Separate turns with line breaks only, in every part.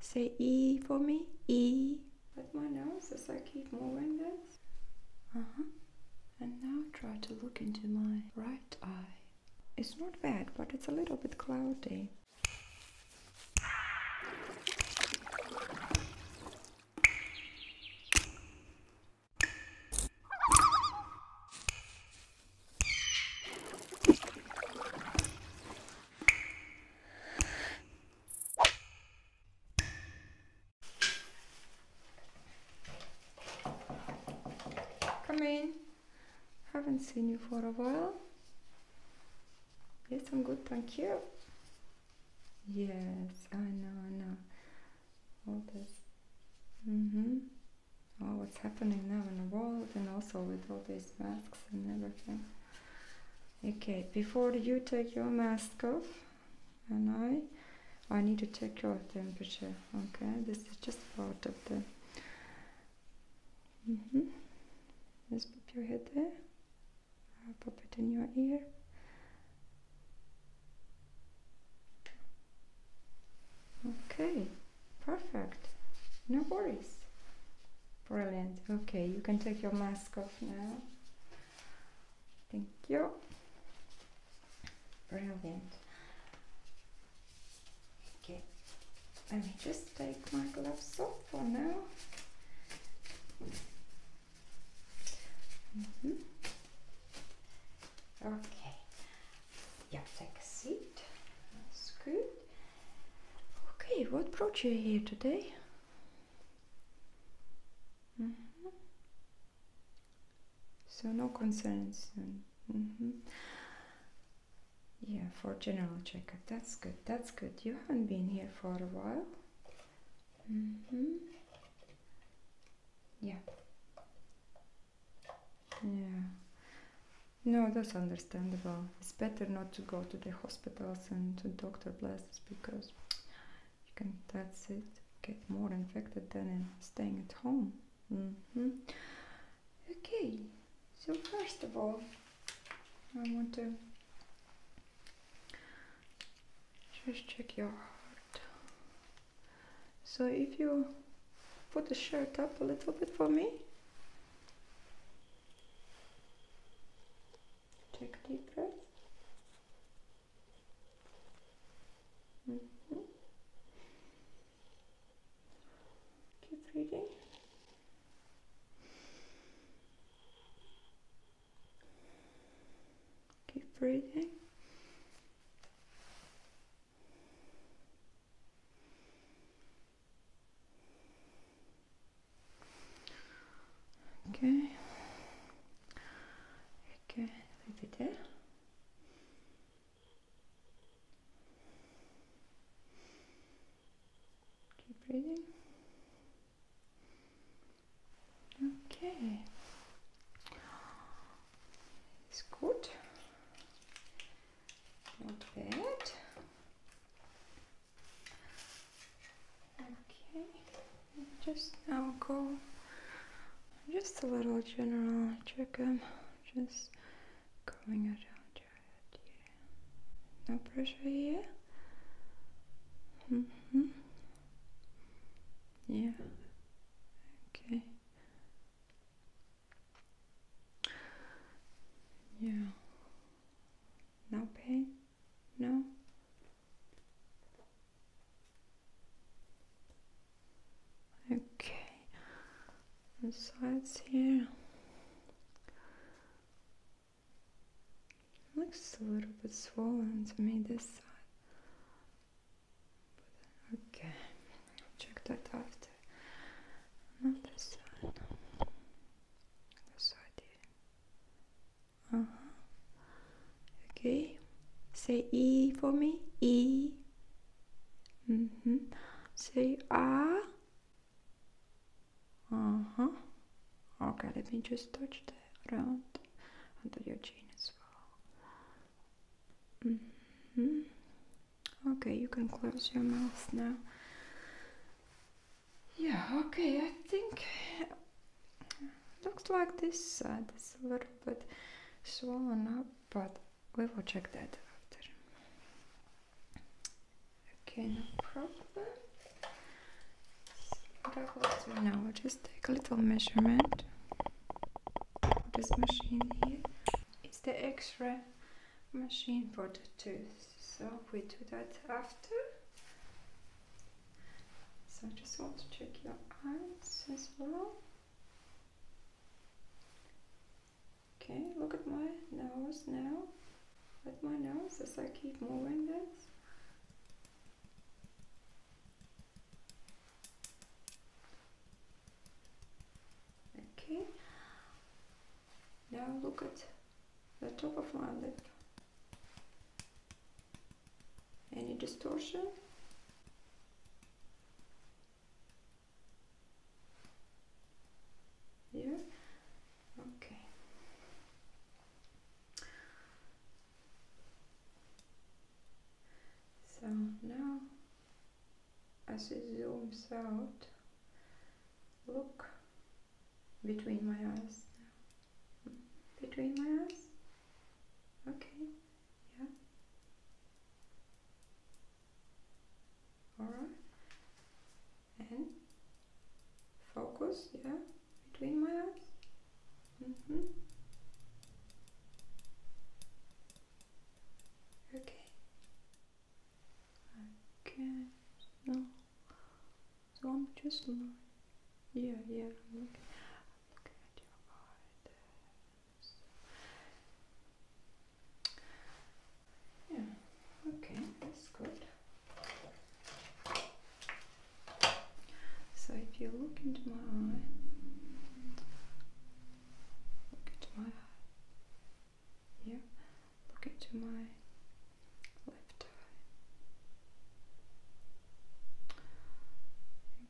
Say E for me. E. With my nose as I keep moving this. Uh huh. And now try to look into my right eye. It's not bad, but it's a little bit cloudy. Come in. Haven't seen you for a while. Yes, I'm good, thank you. Yes, I know, I know. All this. Mm-hmm. Oh, what's happening now in the world and also with all these masks and everything okay before you take your mask off and I I need to take your temperature okay this is just part of the mm -hmm. just pop your head there pop it in your ear okay perfect no worries Brilliant. Okay, you can take your mask off now. Thank you. Brilliant. Okay, let me just take my gloves off for now. Mm -hmm. Okay, yeah, take a seat. That's good. Okay, what brought you here today? Mm-hmm. So, no concerns. Mm-hmm. Yeah, for general checkup. That's good. That's good. You haven't been here for a while. Mm-hmm. Yeah. Yeah. No, that's understandable it's better not to go to the hospitals and to doctor places because you can that's it get more infected than staying at home mm-hmm. okay so first of all i want to just check your heart so if you put the shirt up a little bit for me Take a deep breath. Keep mm-hmm. reading. Keep breathing. Ok. Ok, répétez. Keep breathing. Okay. It's good. Not bad. Okay, just now go just a little general check I'm just going around your here. No pressure here. Mm-hmm. Yeah. Okay. Yeah. No pain. No? Okay. And sides here. Looks a little bit swollen to me this side. But, okay. Check that after. Another side. This side here. Uh-huh. Okay. Say E for me. E. Mm -hmm. Say ah. Uh Okay, let me just touch the around under your chin as well. Mm -hmm. Okay, you can close your mouth now yeah okay I think uh, looks like this side is a little bit swollen up but we will check that after okay no problem now just take a little measurement this machine here is the x-ray machine for the tooth so we do that after so I just want to check your eyes as well okay look at my nose now at my nose as I keep moving this okay now look at the top of my lip any distortion? Yeah. Okay. So now, as it zooms out, look between my eyes now. Between my eyes? Okay, yeah. Alright. And focus, yeah, between my eyes. Mm -hmm. Okay. Okay. No. So I'm just lying. Yeah, yeah, I'm looking, at your eye Yeah, okay, that's good. So if you look into my eye, look into my eye. Yeah, look into my left eye.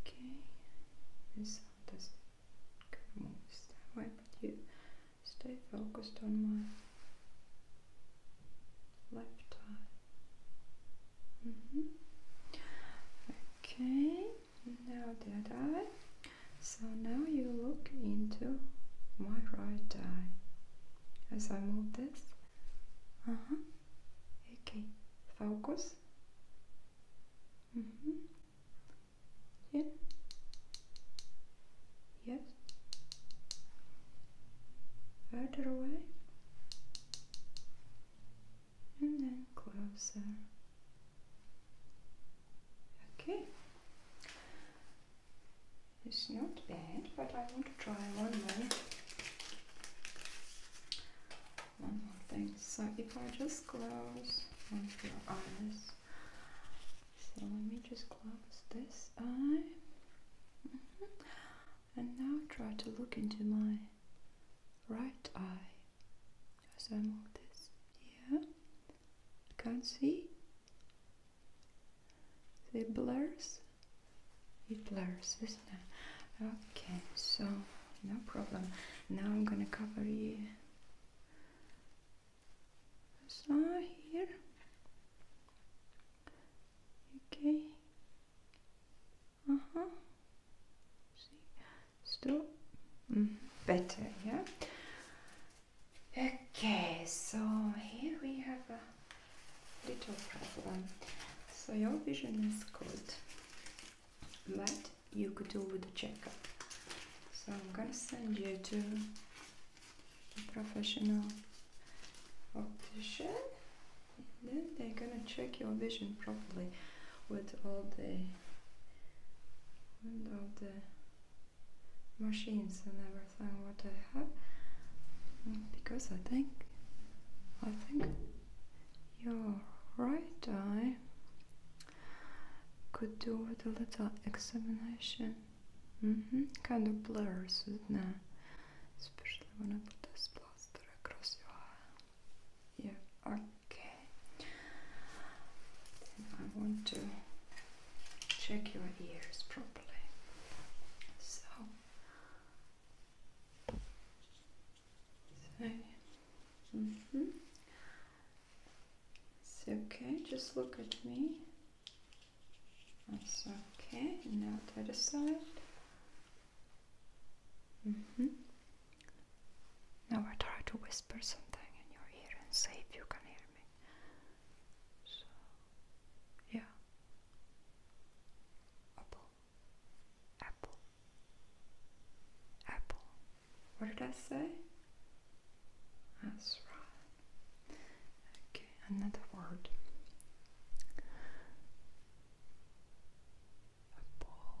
Okay, this does kind of that way, stay focused on my left eye. Mm -hmm. Okay, now the eye. So now you look into my right eye as I move this Okay. Focus. Yes. Mhm. Further away. And then closer. Okay. It's not bad, but I want to try one more. One more thing. So if I just close one of your eyes. So let me just close this eye. Mm-hmm. And now try to look into my right eye. As I move this. Yeah. Can't see? it blurs it blurs isn't it okay so no problem now i'm gonna cover you so here okay uh-huh see mm, better yeah okay so here we have a little problem. So your vision is good, but you could do with a checkup. So I'm gonna send you to the professional optician and then they're gonna check your vision properly with all the and all the machines and everything what I have mm, because I think I think your right eye could do with a little examination. Mm-hmm. Kind of blurs, isn't it? Especially when I put this plaster across your eye. Yeah, okay. I want to check your ears properly. So so, mm -hmm. it's okay, just look at me. That's okay, now to the side. Mm -hmm. Now I try to whisper something in your ear and see if you can hear me. So, yeah. Apple. Apple. Apple. What did I say? That's right. Okay, another word. Apple.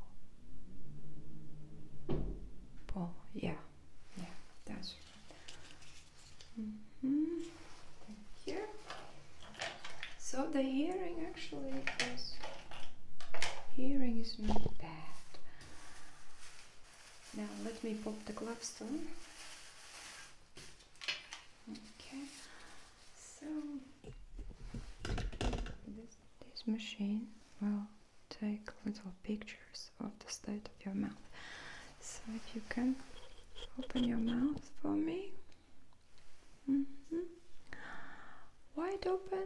Apple. Yeah. Yeah, that's right. Mm -hmm. Here. So the hearing actually is hearing is not bad. Now let me pop the gloves on. Okay. So this machine will take little pictures of the state of your mouth. So if you can open your mouth for me. Mm-hmm. Wide open.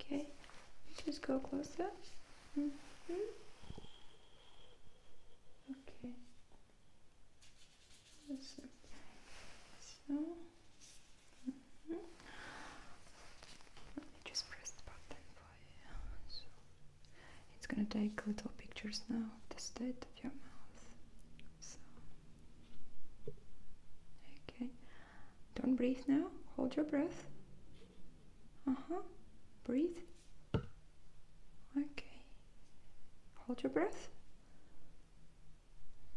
Okay, just go closer. Mm-hmm. Okay. So. Mm-hmm. Let me just press the button for you. It's gonna take little pictures now of the state of your mouth. So, okay, don't breathe now. Hold your breath. Uh huh. Breathe. Okay. Hold your breath.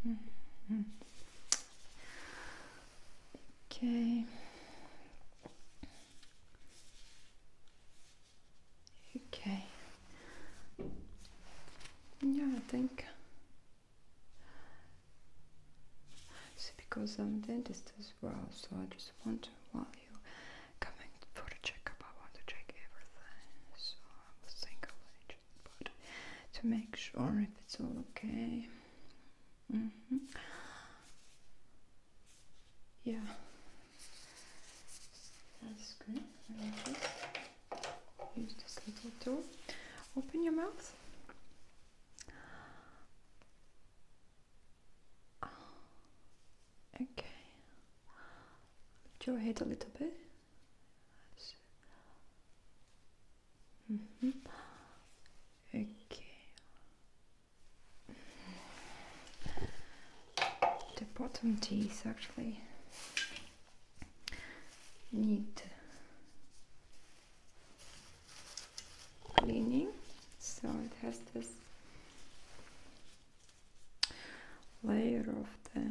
-hmm. Okay. Okay. Yeah, I think. See, because I'm dentist as well, so I just want to, while you coming for the checkup, I want to check everything. So I was thinking I just to make sure if it's all okay. Mm-hmm. Yeah. That's good. Use this little tool. Open your mouth. Ah, okay. Lift your head a little bit. Mm-hmm. Okay the bottom teeth actually need cleaning so it has this layer of the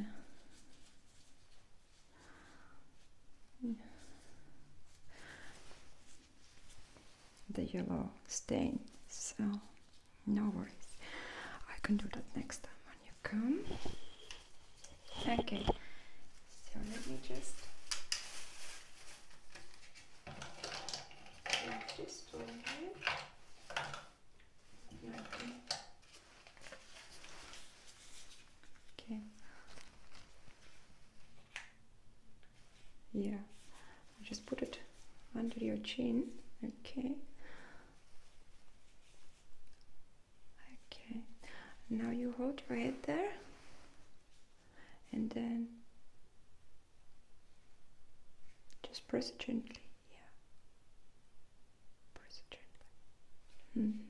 the yellow stain so no worries. I can do that next time when you come. Okay. So let me just just over here. Okay. Yeah. just put it under your chin. Okay. Okay, now you hold your head there and then just press it gently. Yeah, press gently. Mm -hmm.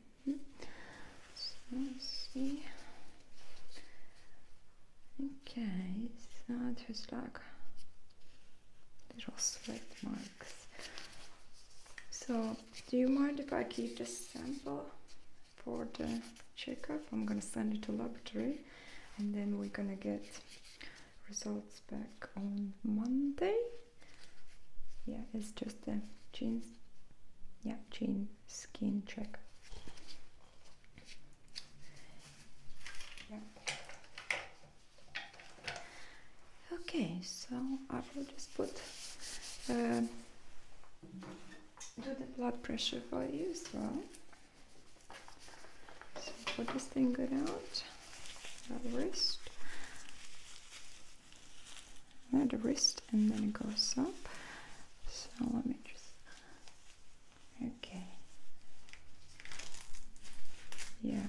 see. Okay, so there's like little sweat marks. So, do you mind if I keep this sample for the checkup? I'm gonna send it to laboratory and then we're gonna get results back on Monday. Yeah, it's just a jeans, yeah, jean skin check. Yeah. Okay, so I will just put um, do the blood pressure for you well. So put this finger out, the wrist, the wrist, and then it goes up. So let me just okay. Yeah,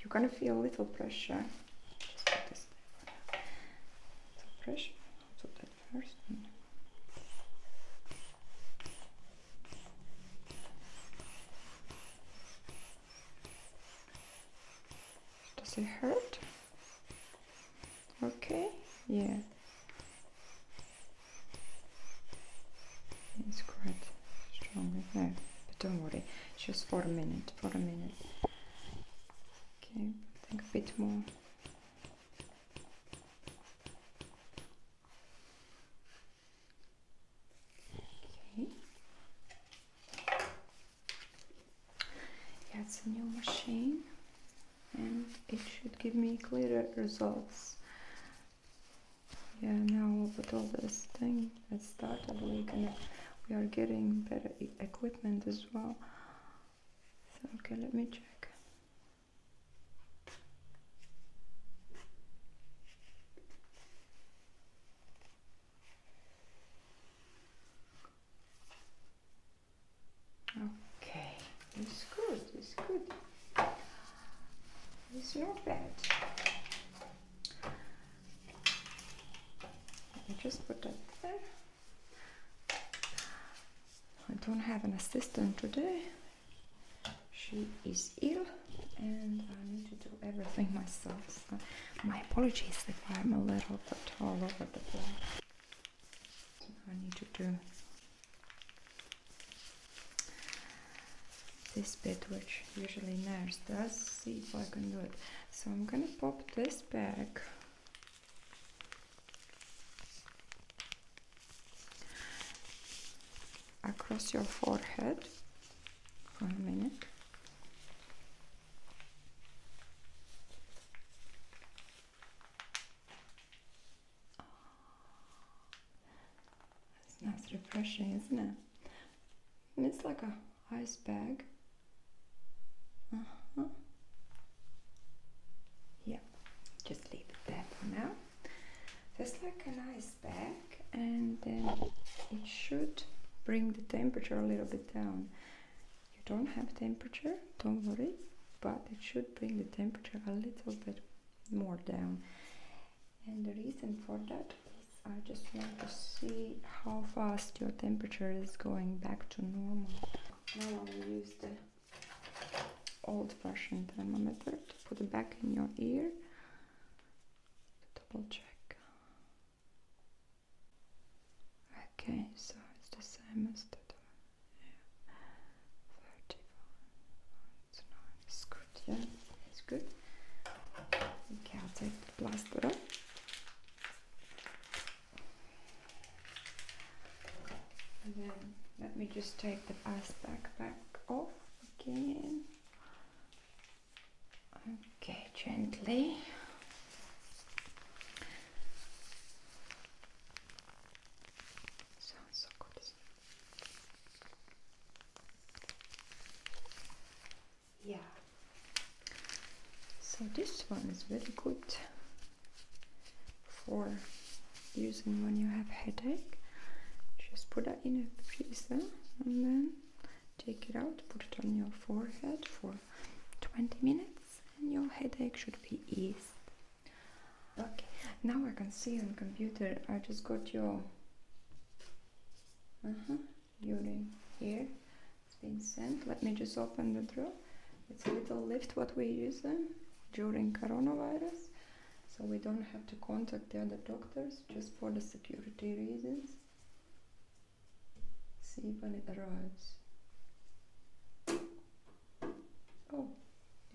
you're gonna feel a little pressure. pressure. Put that first. Does it hurt? Okay. Yeah. It's quite strong. No, but don't worry just for a minute for a minute okay I think a bit more okay yeah it's a new machine and it should give me clearer results yeah now I'll put all this thing let's start I believe and we are getting better equipment as well so okay let me check okay it's good it's good it's not bad just put that there. I don't have an assistant today. She is ill and I need to do everything myself. my apologies if I'm a little bit taller over the place. I need to do this bit which usually nurses, does see if I can do it so I'm gonna pop this back across your forehead for a minute It's nice refreshing isn't it it's like a iceberg. Uh uh-huh. Yeah, just leave it there for now. There's like an bag, and then it should bring the temperature a little bit down. You don't have temperature, don't worry, but it should bring the temperature a little bit more down. And the reason for that I just want to see how fast your temperature is going back to normal. Now I will use the old-fashioned thermometer to put it back in your ear double check. Okay, so it's the same as the yeah. 31. It's, not, it's good, yeah, it's good. Okay, i plasturo. And then let me just take the back back off again. Okay, gently. Sounds so good yeah so this one is very good for using when you have headache just put it in a freezer and then take it out put it on your forehead for 20 minutes and your headache should be eased okay now i can see on computer i just got your uh-huh during here it's been sent let me just open the drawer it's a little lift what we use during coronavirus so we don't have to contact the other doctors just for the security reasons see when it arrives oh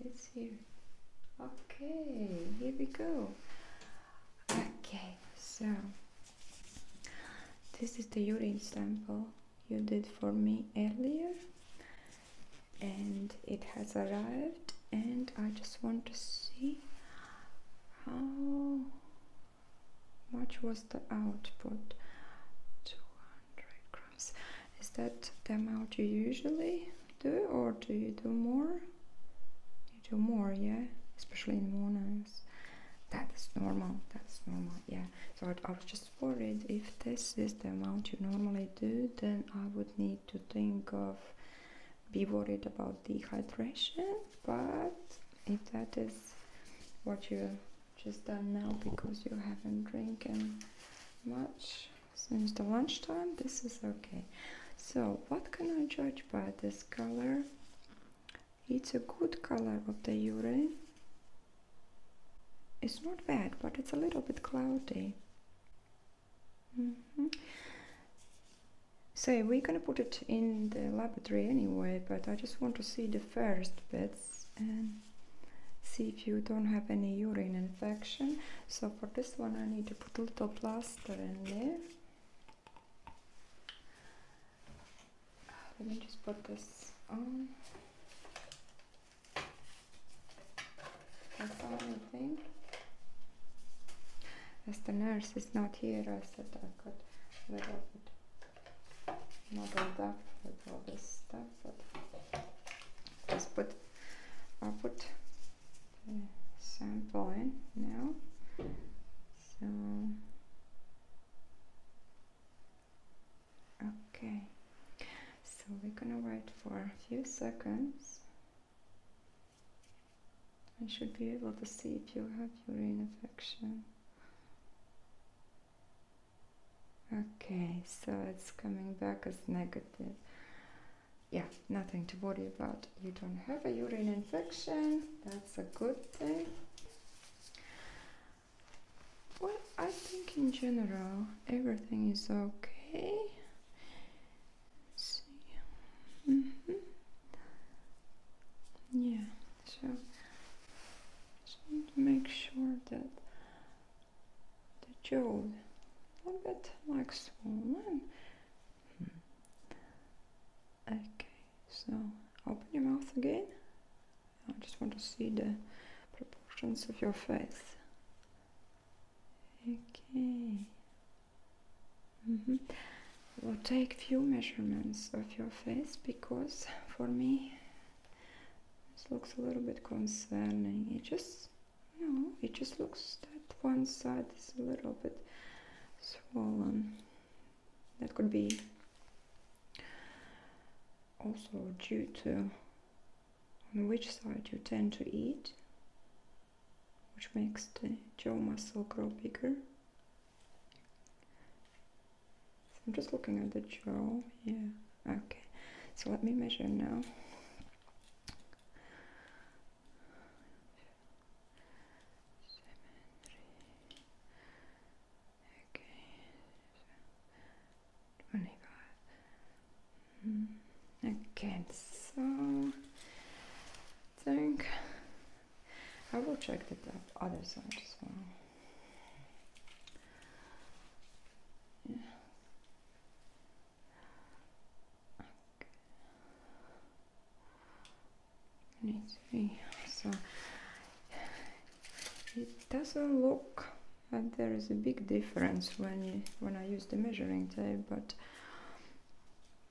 it's here okay here we go okay so this is the urine sample you did for me earlier and it has arrived and I just want to see how much was the output 200 grams is that the amount you usually do or do you do more do more yeah especially in mornings that's normal that's normal yeah so i was just worried if this is the amount you normally do then i would need to think of be worried about dehydration but if that is what you just done now because you haven't drinking much since the lunchtime this is okay so what can i judge by this color it's a good color of the urine. It's not bad, but it's a little bit cloudy. Mm So we're gonna put it in the laboratory anyway, but I just want to see the first bits and see if you don't have any urine infection. So for this one I need to put a little plaster in there. Uh, let me just put this on. That's all I think. As the nurse is not here, I said I could little bit muddled up with all this stuff, just put i put sample in now so okay so we're gonna wait for a few seconds I should be able to see if you have urine infection okay so it's coming back as negative yeah nothing to worry about you don't have a urine infection that's a good thing. Well, I think in general everything is okay. see. Mm-hmm. Yeah, so just make sure that the jaw a bit like swollen. Hmm. Okay. So open your mouth again. I just want to see the proportions of your face. Okay. Mm-hmm. We'll take few measurements of your face because for me this looks a little bit concerning. It just you it just looks that one side is a little bit swollen that could be also due to on which side you tend to eat which makes the jaw muscle grow bigger I'm just looking at the jaw yeah okay so let me measure now Okay, twenty-five. Mm. Okay, so I think I will check the other side as well. Yeah. Okay. Let's see. So it doesn't look that there is a big difference when when I use the measuring tape, but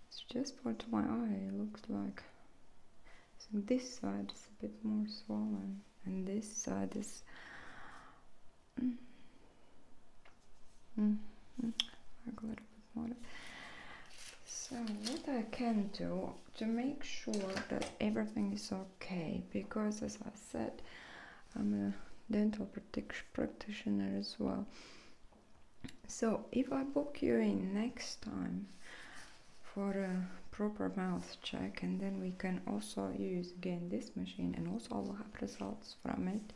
it's just what my eye looks like. this side is a bit more swollen, and this side is. Mm, mm, mm, a little bit more. So what I can do, to make sure that everything is okay because as I said I'm a dental practitioner as well so if I book you in next time for a proper mouth check and then we can also use again this machine and also I'll have results from it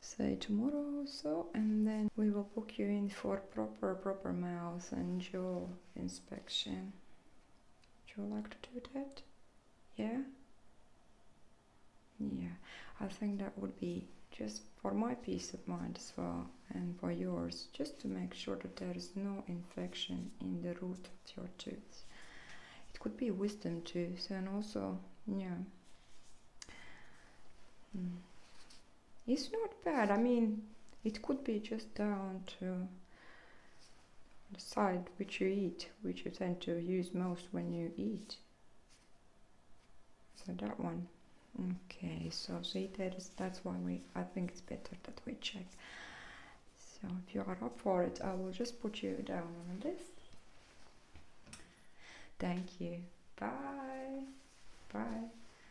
say tomorrow or so and then we will book you in for proper proper mouth and jaw inspection. Would you like to do that? Yeah? Yeah, I think that would be just for my peace of mind as well and for yours, just to make sure that there is no infection in the root of your teeth. It could be wisdom teeth, and also, yeah. Hmm it's not bad. I mean, it could be just down to the side which you eat, which you tend to use most when you eat. So that one. Okay, so see that is that's why we I think it's better that we check. So if you are up for it, I will just put you down on the list. Thank you. Bye. Bye.